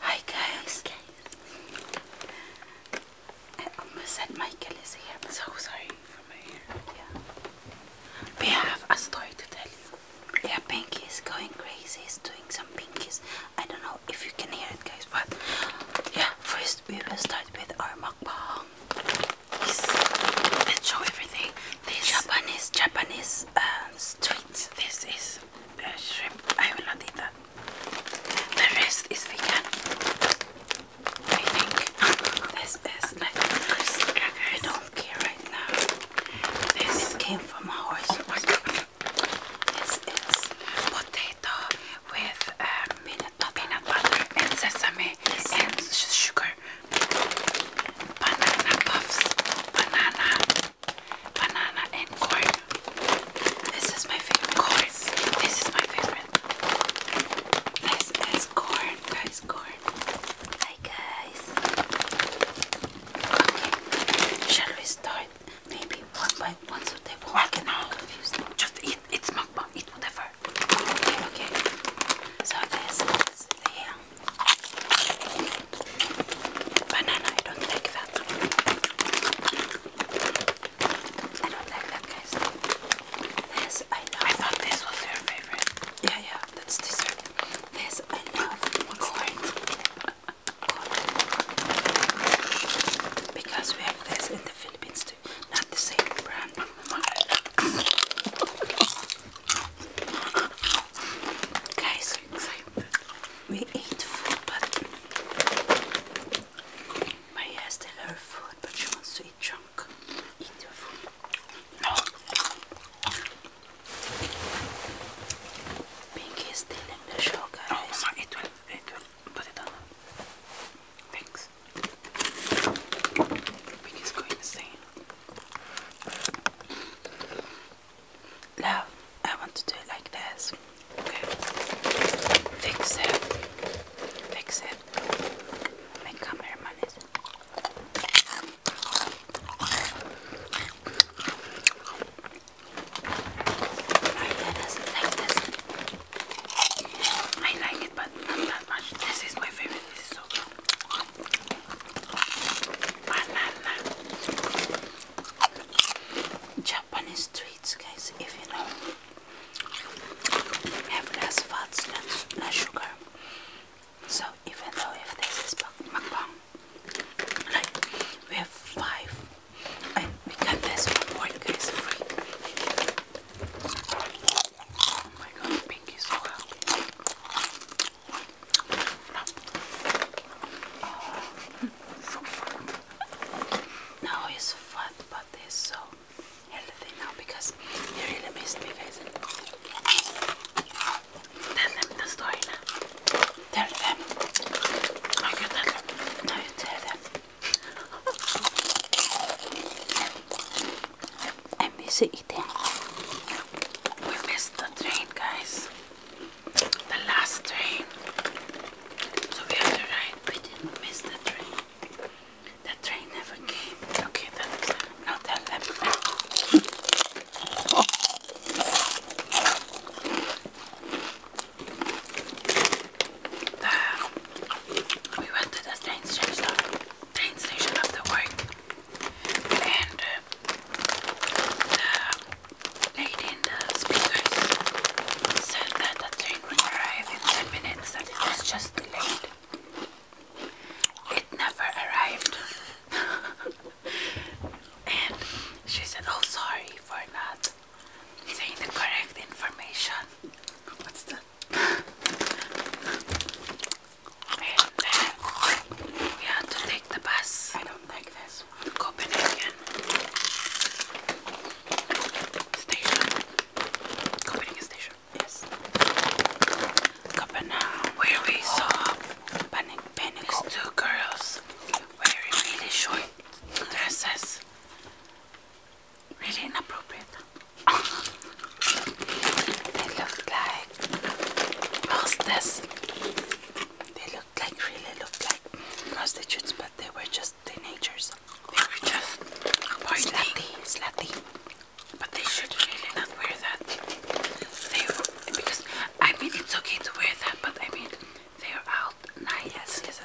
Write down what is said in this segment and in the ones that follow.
Hi guys. Hi guys. I almost said Michael is here. so sorry for my Yeah. We have a story to tell you. Yeah, Pinky is going crazy. doing some pinkies. I don't know if you can hear it, guys, but yeah, first we will start with our mukbang. This, let's show everything. This Japanese, Japanese uh, street. This is shrimp. I will not eat that. The rest is vegan. I think this is like crackers. I don't care right now. This came from a horse. This is potato with um, peanut, butter and sesame yes. and sugar. Banana puffs. Banana banana and corn. This is my favorite course. This is my favorite. This is corn, guys, corn. Hi guys. Okay, shall we start? Maybe one by one so they won't well, get confused. Just eat, it's mukbang, eat whatever. Okay, okay. So this is the Banana, I don't like that. I don't like that, guys. This I love. I thought this was your favorite. Yeah, yeah, that's dessert. This I love. Corn. Corn. Because we have this in the Philippines too. Not the same brand. Guys, we ate food, but Maria still her food, but she wants to eat junk. No. Pinky is still in oh, No, it will, it will. Put it on. Thanks. Pinky's going insane love I want to do it like this fix it fix it my cameraman is my I like it but not that much this is my favorite this is so good banana Japanese sweets, guys, if you know, have less fats, less, sugar. So even though if this is mukbang, like we have five, and we got this for one guys free. Oh my god, Pinky's so happy. Oh, he's fat, but he's so healthy now because he really missed me, guys. Tell them the story now. Tell them. Okay, tell them. Now tell them. I'm eating. We missed the train, guys the last train. So we had to ride. We didn't miss the train. The train never came. Okay, that's not that left we went to the train station, train station after work and uh, the in the speakers said that the train would arrive in 10 minutes and it was just delayed. It never arrived. and she said, Oh, sorry for not saying the correct information. What's that? Uh, we have to take the bus. I don't like this. Copenhagen station. Copenhagen station. Yes. Copenhagen, where we oh. saw oh. two girls wearing really short dresses. Really inappropriate. they looked like hostess they looked like really looked like prostitutes, but they were just teenagers. They were just slutty, slutty. But they should really not wear that. They because I mean it's okay to wear that, but I mean they're out night. Yes, yes.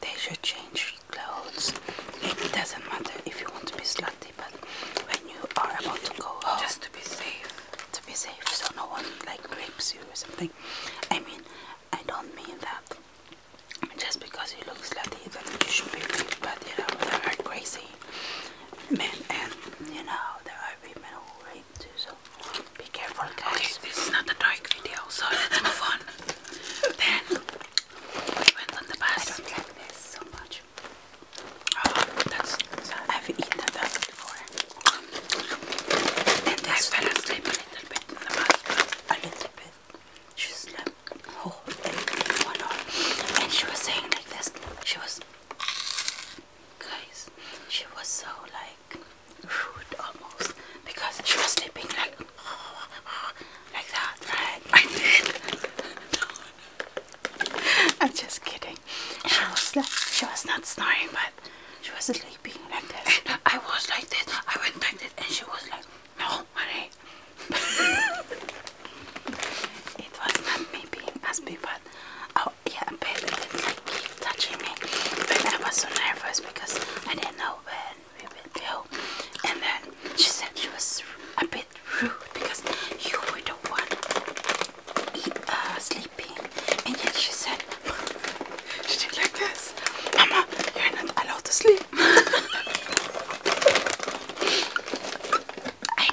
They should change clothes. It doesn't matter if you want to be slutty, but when you are about to go home, just to be safe to be safe so no one like rapes you or something. I mean, I don't mean that just because he you look slutty that you should be raped, but you know, there are crazy men and you know, there are women who rape too, so be careful guys. this is not a dark video, so let's move on. then, we went on the bus. I don't like this so much. Oh, that's, I've eaten that before. And I fell asleep a little bit in the bathroom. A little bit. She slept Oh, day, one And she was saying like this. She was, guys, she was so like rude almost because she was sleeping like like that, right? I did. I'm just kidding. She was not snoring, but she was sleeping like that. I was like that. I went like this, and she was like, "No, Marie." it was not me being as but oh yeah, baby did like keep touching me, But I was so nervous because I didn't know when we would go. And then she said she was a bit rude because you were the one eat, uh, sleeping. And yet she said, she did like this. Mama, you're not allowed to sleep. I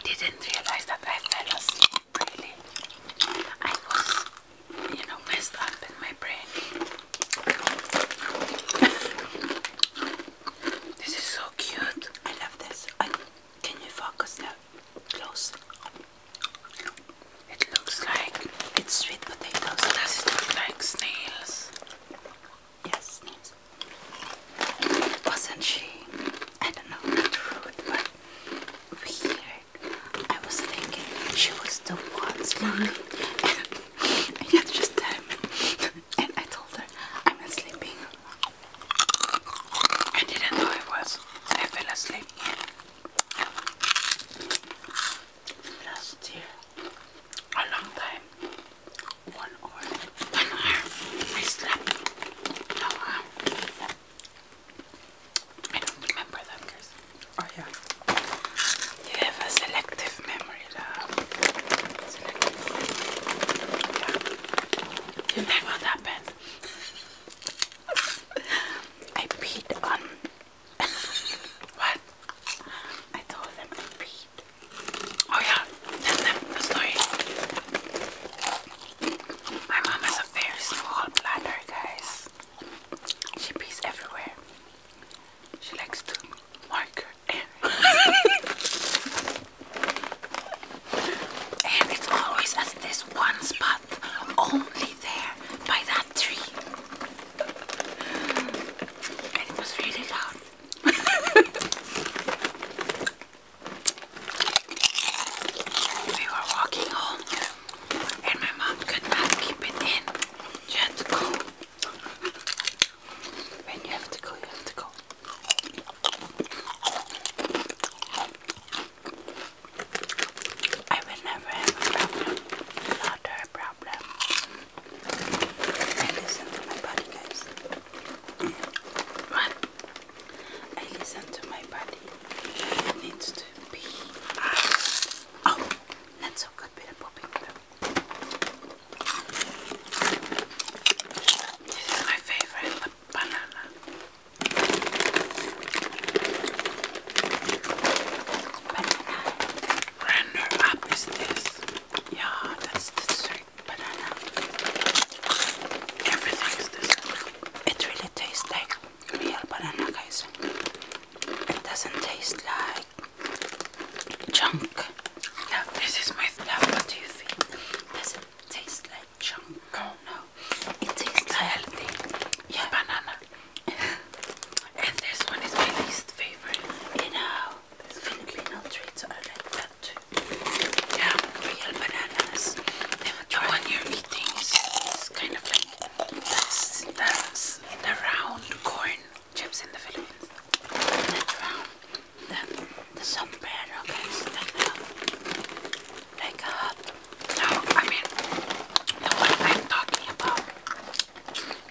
didn't realize that I fell asleep, really. I was, you know, messed up in my brain. this is so cute. I love this. Can you focus now? Close. It looks like it's sweet potatoes. Does it look like snails? Yes, snails. Wasn't she? I don't know, not rude, but weird. I was thinking she was the one And I just time. and I told her I'm sleeping. I didn't know it was. I fell asleep. Last year, a long time, one hour, one hour, I slept. No hour. Um, I don't remember that, guys. Oh yeah. You have a selective memory, love. You know what happens I peed on what? I told them I peed. Oh yeah, that's the story. My mom has a very small bladder, guys. She pees everywhere. She likes to mark her And it's always at this one spot, only there by that tree. And it was really loud. we were walking home, and my mom could not keep it in. She go. When you have to go, you have to go. I will never have a problem, not a problem. I listen to my body, guys. I listen to my body. It needs to be. Oh, not so good with a popping This is my favorite banana. Banana. Render up this. Yeah, that's the sweet banana. Everything this. It really tastes like real banana, guys. It doesn't taste like junk. Yeah, this is my stuff. What you think? Does it taste like? like junk. no, it tastes it's healthy. banana. and this one is my least favorite. You know, this Filipino treats. I like that too. Yeah, real bananas. They were the you're eating is, kind of like that's, that's the round corn chips in the Philippines. That the, the Okay, against the, like a, no, I mean, the one i talking about.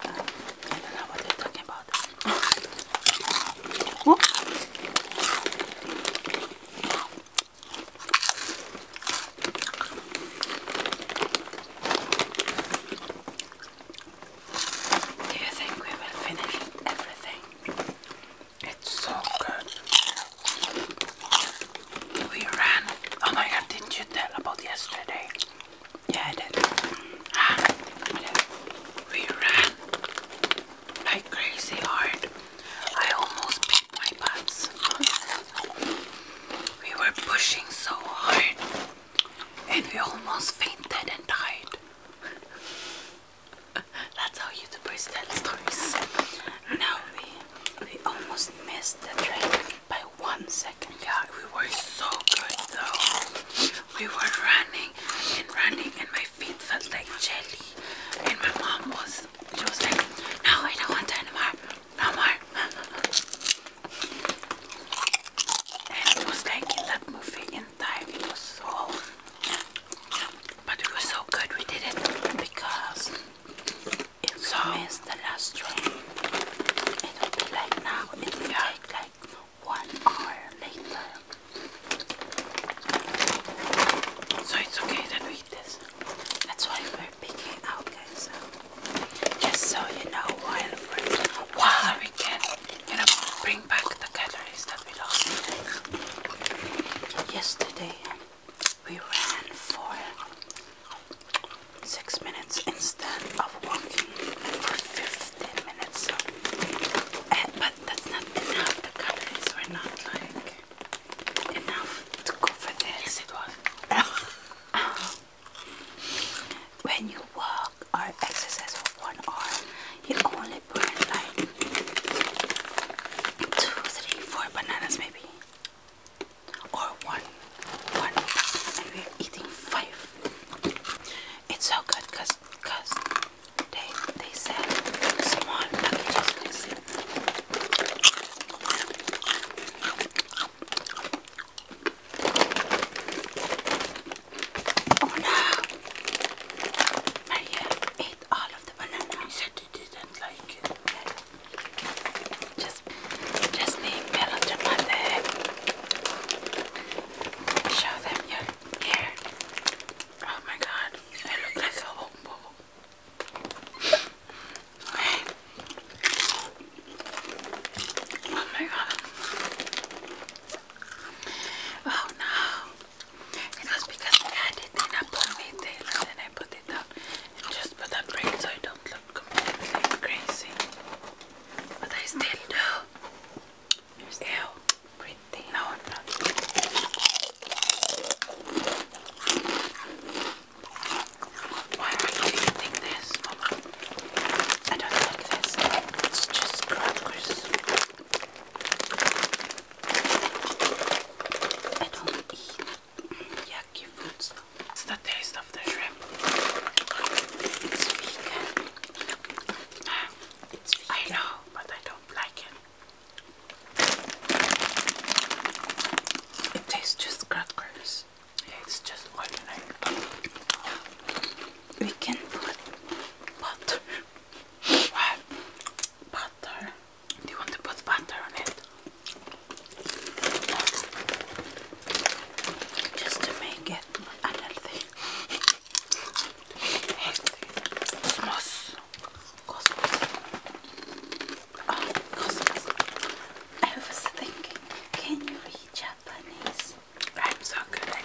I don't know what they're talking about. oh. Do you think we will finish everything? It's so good. We ran. Oh my god, didn't you tell about yesterday? Yeah, did. Ah, we ran like crazy hard. I almost beat my butts. We were pushing so hard and we almost fainted and died. That's how YouTubers tell stories. now we we almost missed the train by one second. Yeah, we were so good though. We were running and running and my feet felt like jelly. And my mom was she was like, No, I don't want to anymore. No more. And it was like in that movie in time, it was so but it was so good we did it because if so, we miss the last train, it will be like now, it will yeah. take like one hour later. So it's okay that we eat this. That's why we're picking out guys. Just so you know while we're while we can you know bring back the calories that we lost yesterday. We ran for six minutes instead of walking for 15 minutes. Eh, but that's not enough. The calories were not like enough to cover this. it was. when you walk or exercise for one hour, you only I bananas maybe. Or one. One. And eating five. It's so good because they they said small Oh no! Maria ate all of the banana. said he didn't like it. Just, just be melodramatic. Show them your hair. Oh my god, I look like a hobo. Oh my god. Oh no. It was because I had it in a ponytail and then I put it up and just put a braid so I don't look completely crazy. But I still do. You're pretty. No, i Why are you eating this, I don't like this. It's just crackers. I don't eat yucky It's the taste of the shrimp. It's I know, but I don't like it. It tastes just crackers. it's just ordinary. We can put butter what? Butter. Do you want to put butter on it? Just to make it unhealthy. Cosmos. Oh, cosmos. I was thinking, can you read Japanese? I'm so good at it.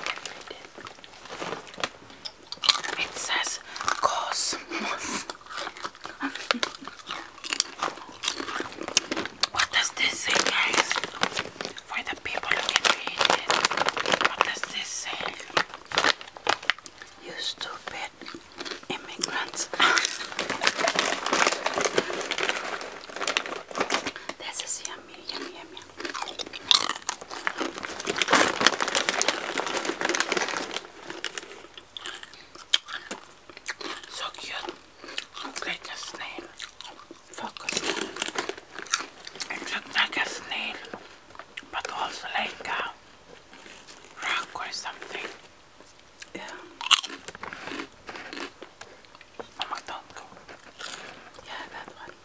It says Cosmos. what does this say, guys? For the people who can read it, what does this say? You stupid immigrants. this is yummy, yummy, yummy. So cute. Like a snail. Focus. It looks like a snail, but also like a rock or something. Yeah. Oh my, don't Yeah, that one.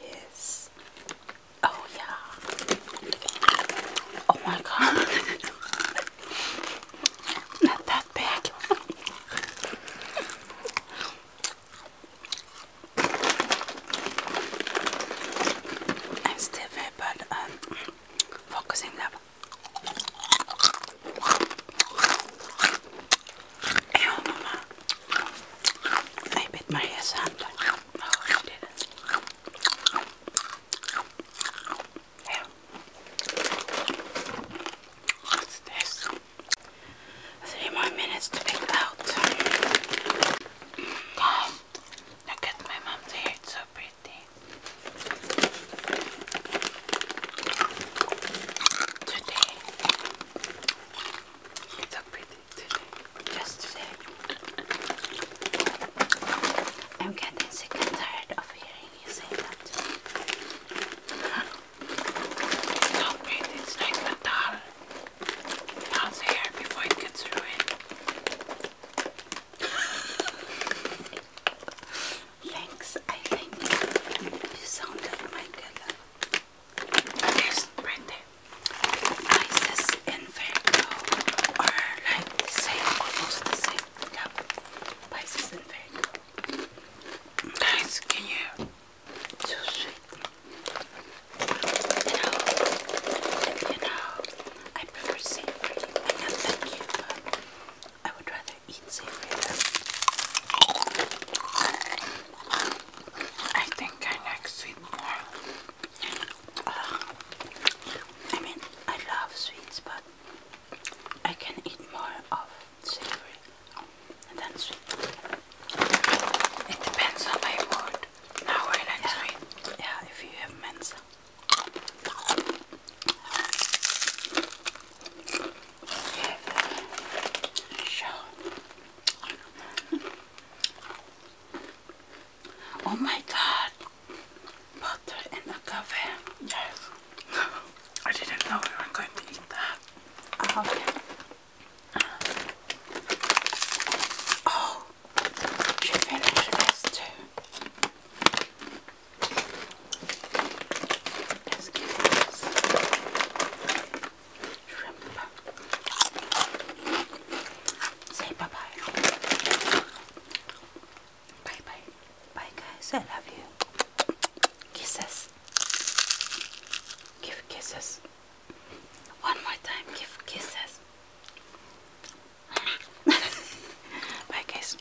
Yes. Oh yeah. Oh my god. Not that big. I'm still very bad at um, focusing up. Ow, Mama. I bit my hair oh, What's this? Three more minutes to pick out. Mm. Guys, look at my mom's hair. It's so pretty. Today, it's a pretty just today. I'm getting sick and tired of hearing you say that. Stop it, it's like a doll. Doll's hair before it gets ruined. Thanks, I think you sounded like a this right there. Isis Inferno are like almost the same. Love Isis Inferno. Guys, can you? So sweet. You know, you know, I prefer savory. I not like you, but I would rather eat savory. I think I like sweet more. I mean, I love sweets, but I can eat more of savory than sweet. It depends on my mood. Now we're in sweet. Yeah, if you have mensa. Okay. oh my god, butter in a cafe. Yes, I didn't know we were going to eat that. Uh-huh. Uh-huh. Oh, okay. finished this Let's give this. Say bye bye. Bye bye. Bye guys, I love you. Kisses. Give kisses. One more time, give kisses. bye guys.